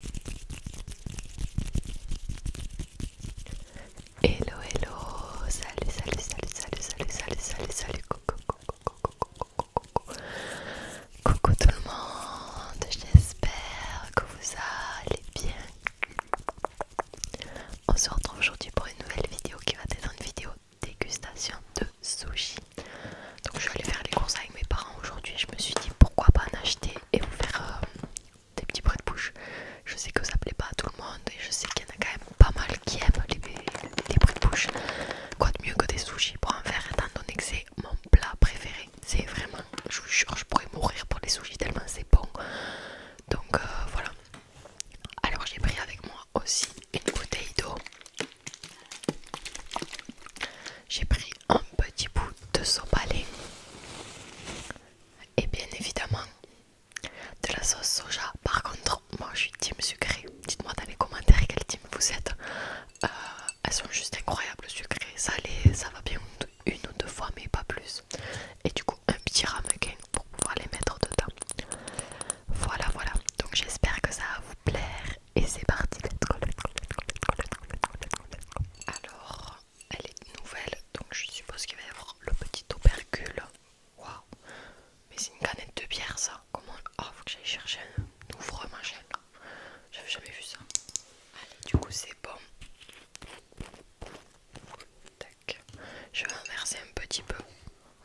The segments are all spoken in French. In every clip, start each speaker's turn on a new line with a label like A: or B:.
A: Hello, hello, salut, salut, salut, salut, salut, salut, salut, salut, coucou, coucou, coucou, coucou, coucou, coucou tout le monde, j'espère que vous allez bien. On se retrouve aujourd'hui pour une nouvelle vidéo qui va être une vidéo dégustation de sushi. Donc je suis allée faire les courses avec mes parents aujourd'hui. Je me suis dit pourquoi pas en acheter et vous faire euh, des petits bruits de bouche. Je sais que ça plaît pas à tout le monde et je sais qu'il y en a quand même pas mal qui aiment les, bruits de bouche. Quoi de mieux que des sushis pour en faire étant donné que c'est mon plat préféré. C'est vraiment, je vous jure, je pourrais mourir pour les sushis tellement c'est bon. Donc euh, voilà. Alors j'ai pris avec moi aussi une bouteille d'eau. J'ai pris un petit bout de sopalin et bien évidemment de la sauce soja. Par contre, moi je suis team sucré. Dites-moi dans les commentaires quel team vous êtes. Euh, elles sont juste incroyables, sucrées, ça va bien une ou deux fois, mais pas plus. Et du coup, un petit ramequin pour pouvoir les mettre dedans. Voilà, voilà. Donc j'espère que ça va vous plaire et c'est parti. Alors, elle est nouvelle, donc je suppose qu'il va y avoir le petit opercule. Waouh, mais c'est une canette de pierre ça. Comment Oh, faut que j'aille chercher un ouvre machin. J'avais jamais vu ça. Allez, du coup, c'est bon. Tac. Je vais inverser un petit peu.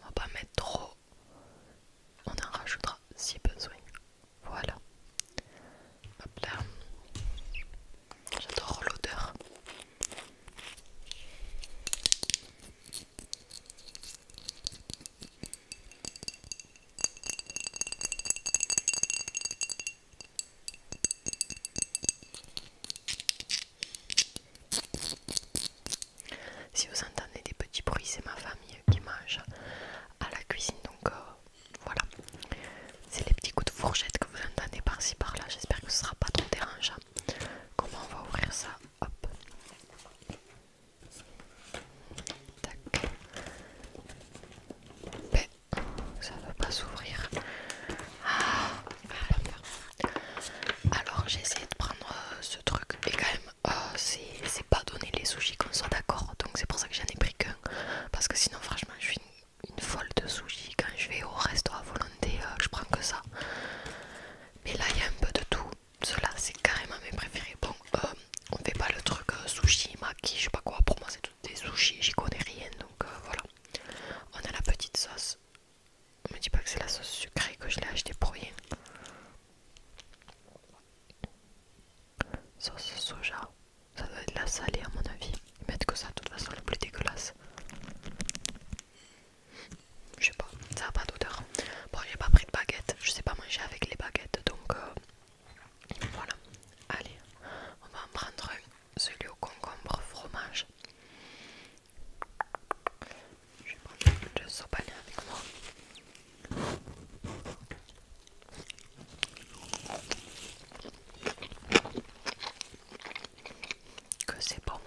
A: On va pas mettre trop. On en rajoutera si besoin. Voilà. J'adore l'odeur. Si vous entendez des petits bruits, c'est ma famille qui mange à la cuisine. Donc euh, voilà, c'est les petits coups de fourchette que vous entendez par-ci par-là. J'espère que ce sera pas trop dérangeant. Comment on va ouvrir ça Hop. Tac. Ben, ça ne pas s'ouvrir. Ah, Alors j'ai essayé de prendre euh, ce truc et quand même Oh, c'est pas donné les sushis qu'on soit d'accord. Donc c'est pour ça que j'en ai pris qu'un. Parce que sinon franchement je suis une, folle de sushis. Quand je vais au restaurant à volonté, euh, je prends que ça. Mais là il y a un peu de tout. Cela c'est carrément mes préférés. Bon euh, on fait pas le truc euh, sushi, maki, je sais pas quoi. Pour moi c'est tout des sushis, j'y connais rien. Donc voilà. On a la petite sauce. On me dit pas que c'est la sauce sucrée que je l'ai acheté pour rien. Sauce soja, ça doit être la salée à mon avis. Mettre que ça de toute façon le plus dégueulasse. Je sais pas, ça a pas d'odeur. Bon, j'ai pas pris de baguette, je sais pas manger avec les baguettes donc euh, voilà. Allez, on va en prendre celui au concombre fromage. Je vais prendre le sopalin avec moi. Que c'est bon.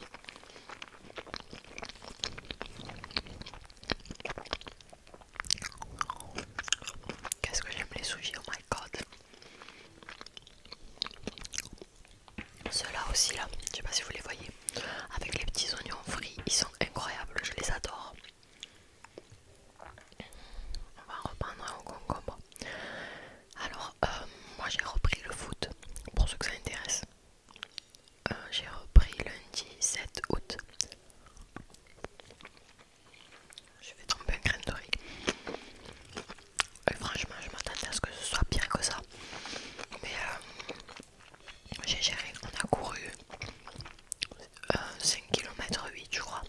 A: Qu'est-ce que j'aime les sushi, oh my god. Ceux-là aussi là, je sais pas si vous les voyez avec les petits oignons frits, ils sont incroyables, je les adore. On va reprendre au concombre. Alors, euh, moi j'ai repris le foot, pour ceux que ça intéresse. Euh, j'ai repris lundi 7 août. Je vais tremper un crème de riz. Et franchement, je m'attendais à ce que ce soit pire que ça. Mais euh, j'ai géré, on a couru 5,8 5 km 8 je crois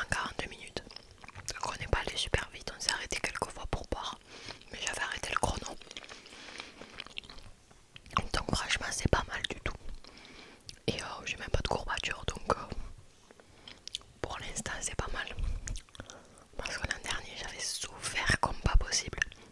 A: en 42 minutes. Donc on n'est pas allé super vite, on s'est arrêté quelques fois pour boire, mais j'avais arrêté le chrono. Donc franchement c'est pas mal du tout. Et euh, j'ai même pas de courbature donc euh, pour l'instant c'est pas mal. Parce que l'an dernier j'avais souffert comme pas possible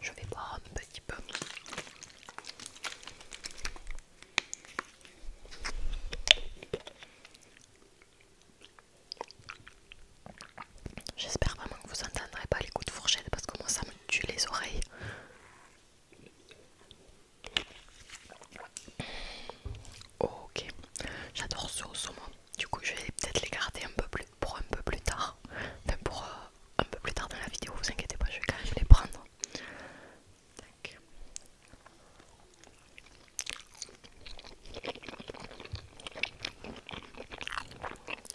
A: je vais boire un petit peu. J'espère vraiment que vous n'entendrez pas les coups de fourchette parce que moi ça me tue les oreilles. Ok, j'adore ce au saumon. Du coup, je vais peut-être les garder un peu plus pour un peu plus tard. Enfin, pour euh, un peu plus tard dans la vidéo, vous inquiétez pas, je vais quand même les prendre.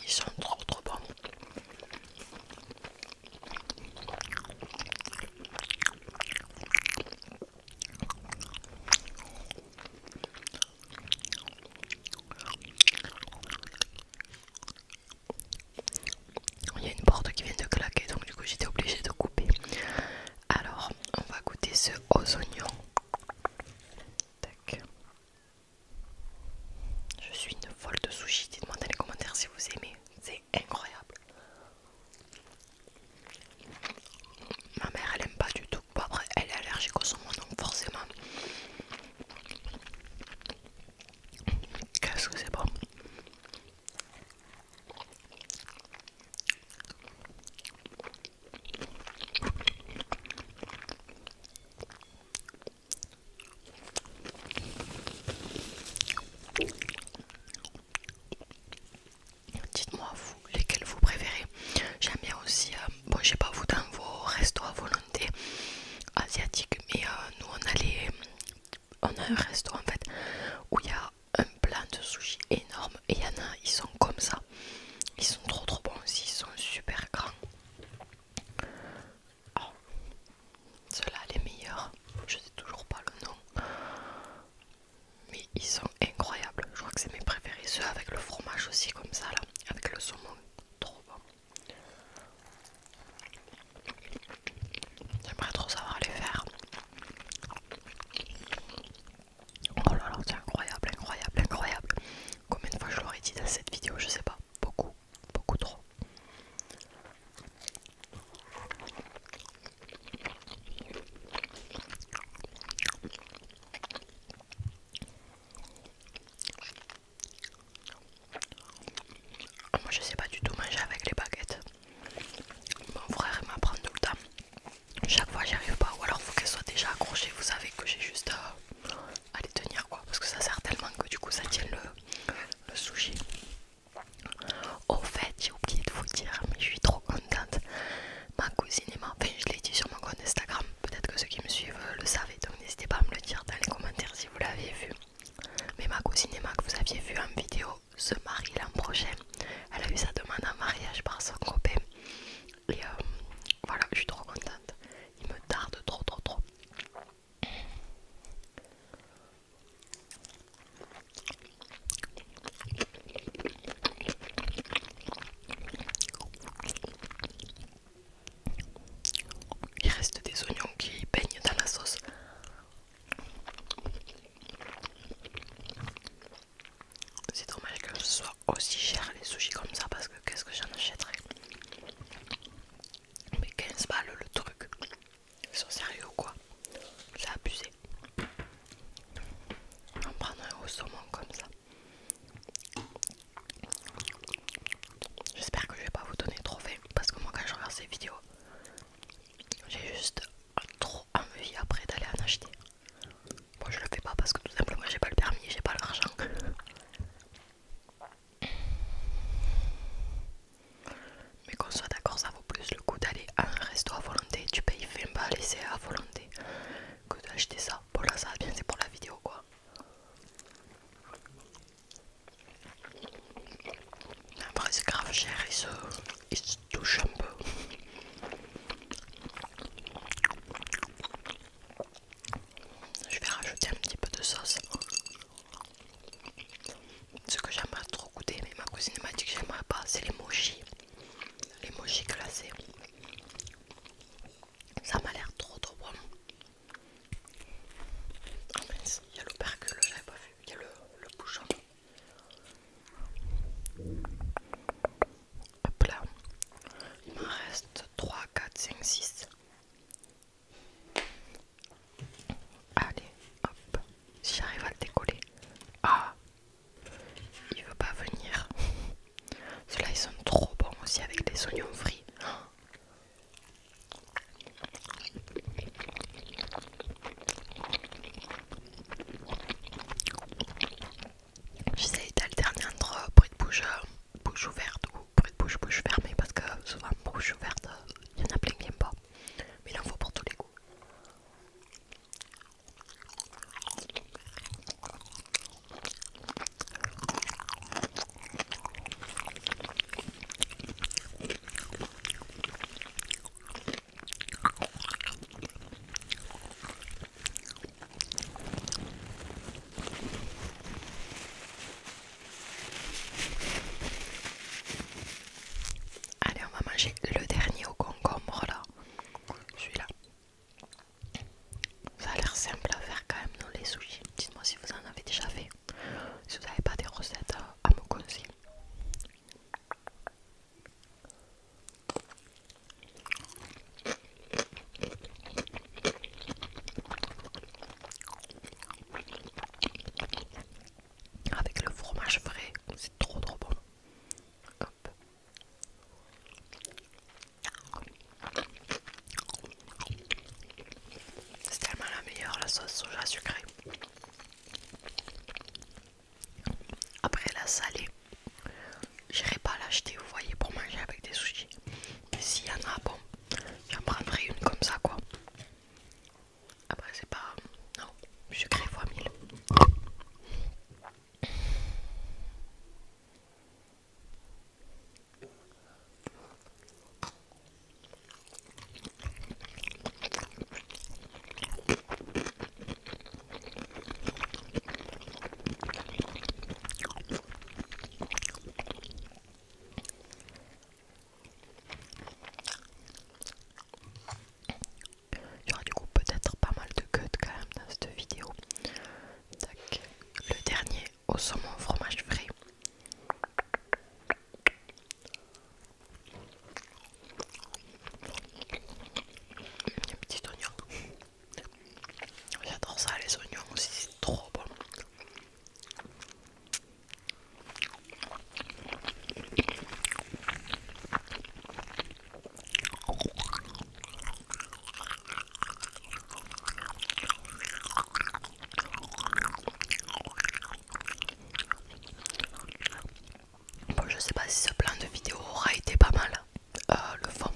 A: Ils sont trop trop bons. Il y a une porte qui vient de claquer donc du coup j'étais obligée de couper. Alors on va goûter ce aux oignons. Je suis une folle de sushi. Dites-moi dans les commentaires si vous aimez. C'est incroyable. Ma mère elle aime pas du tout. elle est allergique au son, donc forcément. Qu'est-ce que c'est bon Dites-moi vous lesquels vous préférez. J'aime bien aussi, euh, bon je sais pas vous dans vos restos à volonté asiatiques, mais euh, nous on a on a un resto en fait où il y a un plat de sushi énorme et il y en a, ils sont comme ça. Ils sont trop trop bons aussi, ils sont super grands. Oh, ceux-là, les meilleurs, je sais toujours pas le nom, mais ils sont incroyables. Je crois que c'est mes préférés, ceux avec le fromage aussi, comme ça là, avec le saumon, trop bon. J'aimerais trop savoir les faire. Oh là là, c'est incroyable, incroyable, incroyable. Combien de fois je l'aurais dit dans cette vidéo, je sais pas, beaucoup beaucoup trop. Moi je sais pas du tout manger avec les baguettes. Mon frère m'apprend tout le temps. Chaque fois j'y arrive pas. Ou alors faut qu'elles soient déjà accrochées. Vous savez que j'ai juste euh, à, les tenir quoi. Parce que ça sert tellement que du coup ça tient le, le sushi. Au fait, j'ai oublié de vous dire, mais je suis trop contente. Ma cousine Emma, enfin, je l'ai dit sur mon compte Instagram. Peut-être que ceux qui me suivent euh, le savaient, donc n'hésitez pas à me le dire dans les commentaires si vous l'avez vu. Mais ma cousine Emma, que vous aviez vu en vidéo, se marie l'an prochain. Elle a eu sa demande en mariage par son copain. Et euh, voilà, je suis trop contente. Il me tarde trop, trop, trop. Il reste des oignons qui baignent dans la sauce. C'est dommage que ce soit aussi cher les sushis comme ça parce que qu'est-ce que j'en achèterais mais 15 balles le truc. Ils sont sérieux ou quoi C'est abusé. En prendre un au saumon comme ça. J'espère que je vais pas vous donner trop faim parce que moi quand je regarde ces vidéos, j'ai juste trop envie après d'aller en acheter. Moi je le fais pas parce que tout simplement j'ai pas le permis, j'ai pas l'argent. Mais qu'on soit d'accord, ça vaut plus le coup d'aller à un resto à volonté, tu payes 20 balles et c'est à volonté que d'acheter ça. Bon là ça va bien, c'est pour la vidéo quoi. Après c'est grave cher, il se touche un peu. Je vais rajouter un petit peu de sauce. Ce que j'aime pas trop goûter, mais ma cousine m'a dit que j'aimerais pas, c'est les mochis. Les mochis glacés. Ça m'a l'air trop trop bon. Ah, il y a l'opercule, j'avais pas vu. Il y a le, le bouchon. Hop là. Il m'en reste 3, 4, 5, 6. Allez, hop. Si j'arrive à le décoller. Ah Il veut pas venir. Ceux-là, ils sont trop bons aussi avec des oignons frits. J'essaie dernier entre bouche, euh, bouche ouverte ou bruit de bouche, bouche fermée parce que souvent bouche ouverte, il euh, y en a plein qui n'aiment pas. Mais il en faut pour tous les goûts. Allez, on va manger le dernier au concombre là. Celui-là. Ça a l'air simple à faire quand même, Dans les sushis. Dites-moi si vous en avez déjà fait. Si vous n'avez pas des recettes euh, à me conseiller. Avec le fromage frais, c'est trop trop bon. C'est tellement la meilleure la sauce soja sucrée. Après la salée, j'irai pas l'acheter, vous voyez, pour manger avec des sushis. Mais s'il y en a, bon, j'en prendrai une comme ça, quoi. Après, c'est pas. Non, sucré x 1000. Il y aura du coup peut-être pas mal de cuts quand même dans cette vidéo. Le dernier au saumon fromage frais. Petit petits oignons. J'adore ça, les oignons aussi, c'est trop bon. Bon, je sais pas si ce plan de vidéo aura été pas mal. Euh, le fond.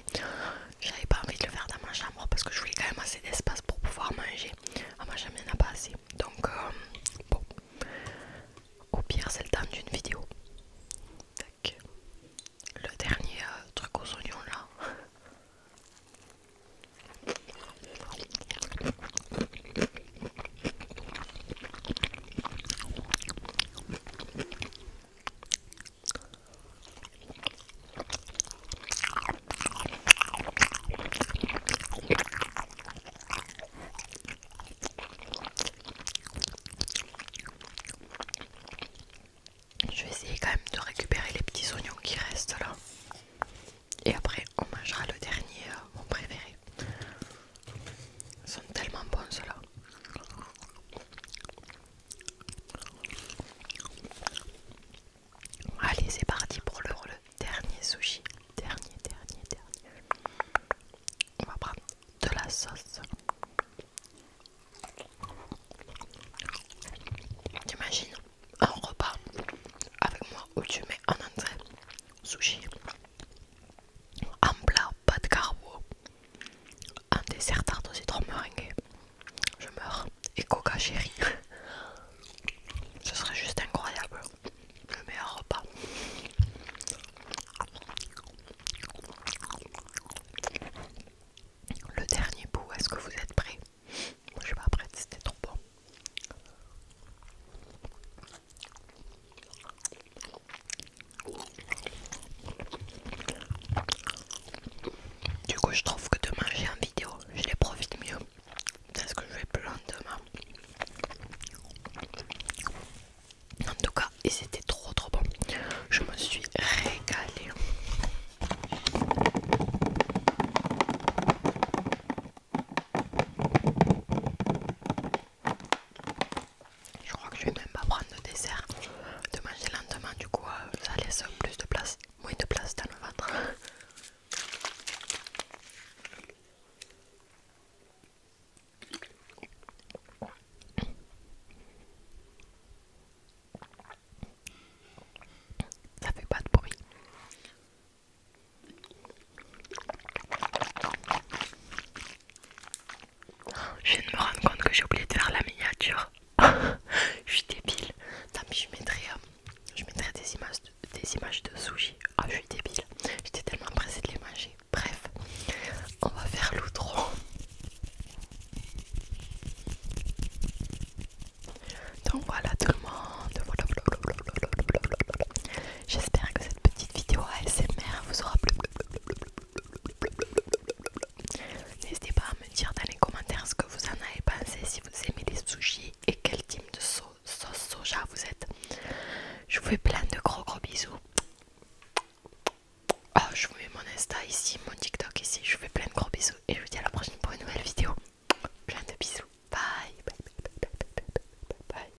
A: J'avais pas envie de le faire dans ma chambre parce que je voulais quand même assez d'espace pour pouvoir manger. À ah, ma chambre, il n'y en a pas assez. Donc, euh, bon. Au pire, c'est le temps d'une vidéo. Le dernier euh, truc aux oignons là. Je vais essayer quand même de récupérer les petits oignons qui restent là. Et après, on mangera le dernier, euh, mon préféré. Ils sont tellement bons ceux-là. Allez, c'est parti pour le dernier sushi. Dernier, dernier, dernier. On va prendre de la sauce. T'imagines un repas avec moi où tu mets un entrée sushi, en plat, pas de carbo. un dessert tarte au citron meringué, Je meurs. Et coca chérie. Ce serait juste incroyable. Le meilleur repas. Le dernier bout, est-ce que vous êtes prêt Moi je suis pas prête, c'était trop bon. Du coup, je trouve que de manger en vidéo, je les profite mieux. C'est ce que je vais plus demain En tout cas, ils étaient trop trop bon. Je me suis régalée. Je crois que je vais même pas prendre de dessert, de manger lentement, du coup euh, ça laisse plus de place, moins de place dans le ventre. Ça fait pas de bruit. Je viens de me rendre compte que j'ai oublié de faire la miniature. je suis débile. je mettrai, euh, je mettrai des, images de, des Ah, je suis débile. J'étais tellement pressée de les manger. Bref, on va faire l'outro. Donc voilà tout le monde. J'espère que petite vidéo ASMR vous aura plu. N'hésitez pas à me dire dans les commentaires ce que vous en avez pensé, si vous aimez les sushis et quel type de sauce, soja vous êtes. Je vous fais plein de gros gros bisous. Ah, je vous mets mon Insta ici, mon TikTok ici. Je vous fais plein de gros bisous et je vous dis à la prochaine pour une nouvelle vidéo. Plein de bisous. bye.